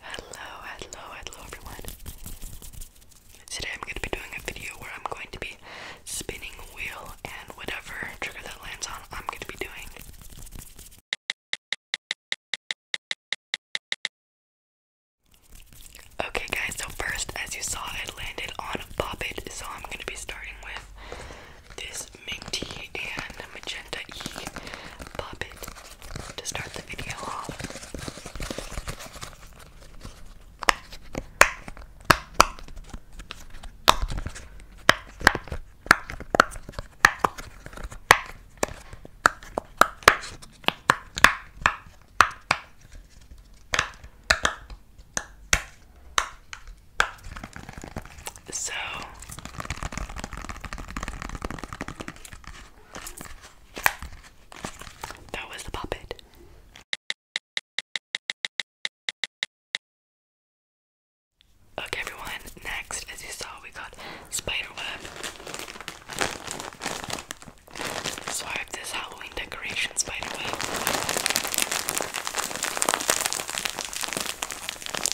Hello, hello, hello everyone. Today I'm going to be doing a video where I'm going to be spinning a wheel and whatever trigger that lands on, I'm going to be doing. Okay guys, so first as you saw, it landed on Pop It, so I'm going to be starting with this minty and magenta e puppet to start the video off. So that was the puppet. Okay, everyone, next, as you saw, we got Spiderweb. So I have this Halloween decoration Spiderweb.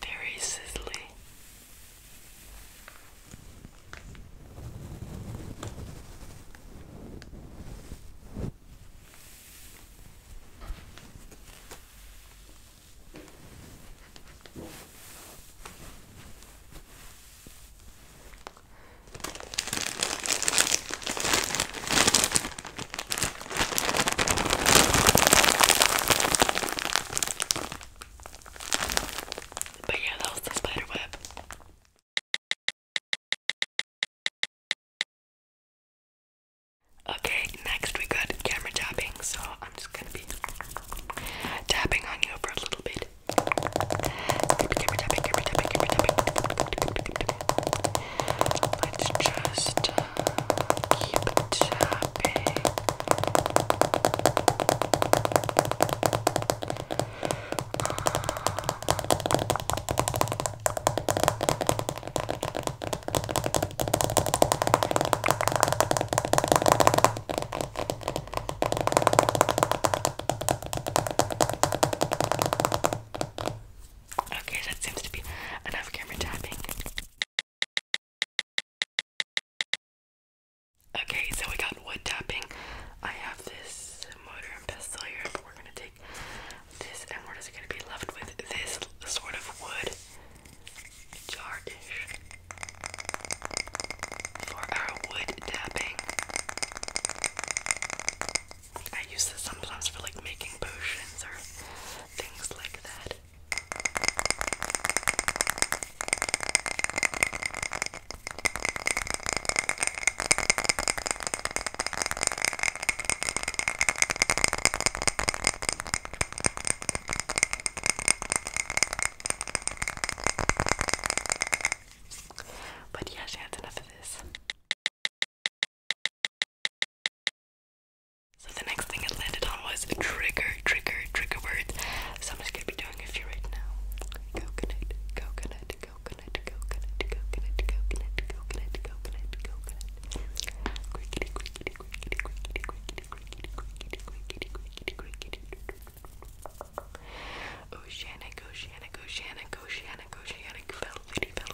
very sizzly. But yeah, that was the spider web. Okay, next we got camera tapping, so I'm just gonna be tapping on you for a little bit. Camera tapping, camera tapping, camera tapping. Let's just Keep tapping. Okay, that seems to be enough camera tapping. Okay, so we got wood tapping. I have this motor and pestle here, but we're gonna take this, and we're just gonna be left with this sort of wood jar for our wood tapping. I use this sometimes for like making potions or things like that. But yeah, she had enough of this. So the next thing I landed on was a trigger, trigger, trigger word. So I'm just gonna be doing a few right now. Coconut, coconut, coconut, coconut, coconut, coconut, coconut, coconut, coconut. Crickety, crickety, crickety, crickety, crickety, crickety, crickety, crickety, crickety, crickety. Oceanic, oceanic, oceanic, oceanic, oceanic, velvety, velvety,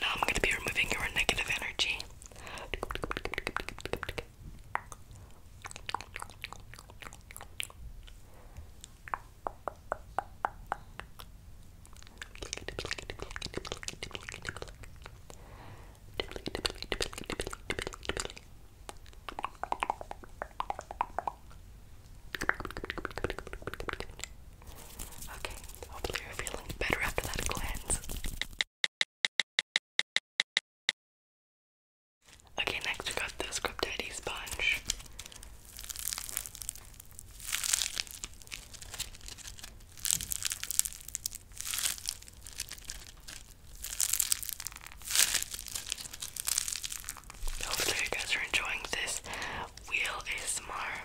Now I'm going to be removing your negative energy. Okay, hopefully you're feeling better after that cleanse. Okay, next we got the Scrub Daddy sponge. Hopefully you guys are enjoying this wheel is ASMR.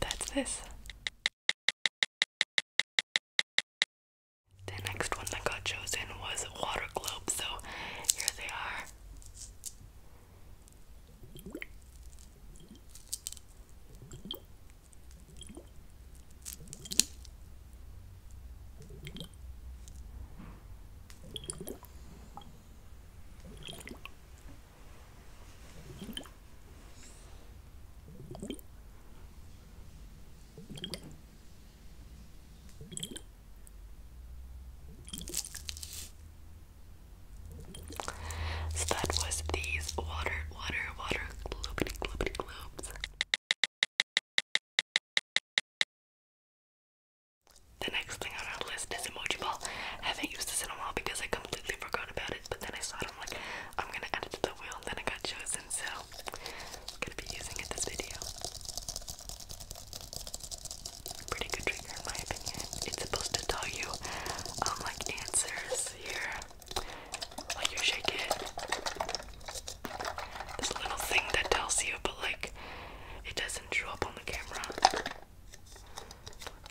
that's this. The next one that got chosen was water globes, so here they are. So that was these water, water, water, gloopity, gloopity, gloops. The next thing on our list is Emoji Ball. I haven't used this in a while because I completely forgot about it, but then I saw it. I'm like, I'm gonna add it to the wheel, then it got chosen, so gonna be using it this video. Pretty good trigger, in my opinion. It's supposed to tell you, um, like answers here. Like you shake it. This little thing that tells you, but like, it doesn't doesn't show up on the camera.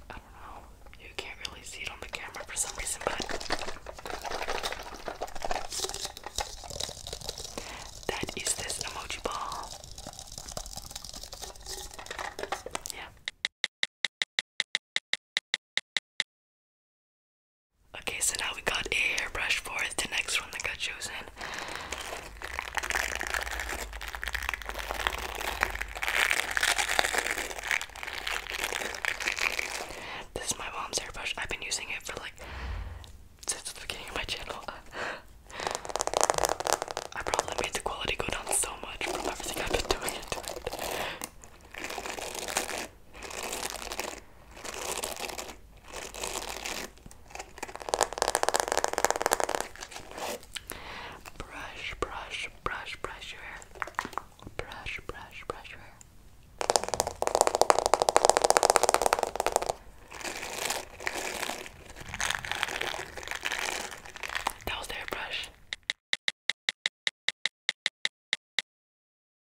I don't know. You can't really see it on the camera for some reason, but that is this emoji ball. Yeah. Okay, so now we got a hairbrush for the next one that got chosen. This is my mom's airbrush. I've been using it for like since the beginning of my channel. I probably made the quality go down so much from everything I've been doing into it. Brush, brush, brush, brush your hair. Brush, brush, brush your hair. That was the hairbrush.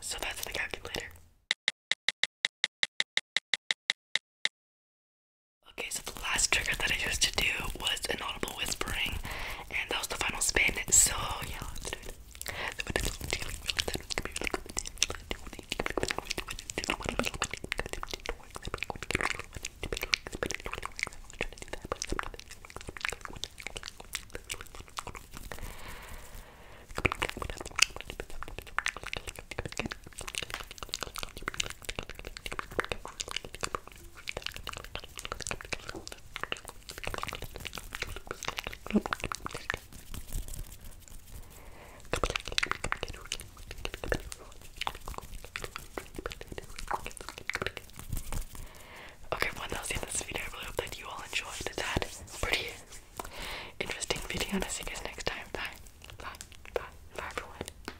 So that's the calculator. Okay, so the last trigger that I used to do was inaudible whispering, and that was the final spin. So yeah. Okay, everyone, that was the this video. I really hope that you all enjoyed that pretty interesting video, and I'll see you guys next time. Bye, bye, bye, bye, everyone.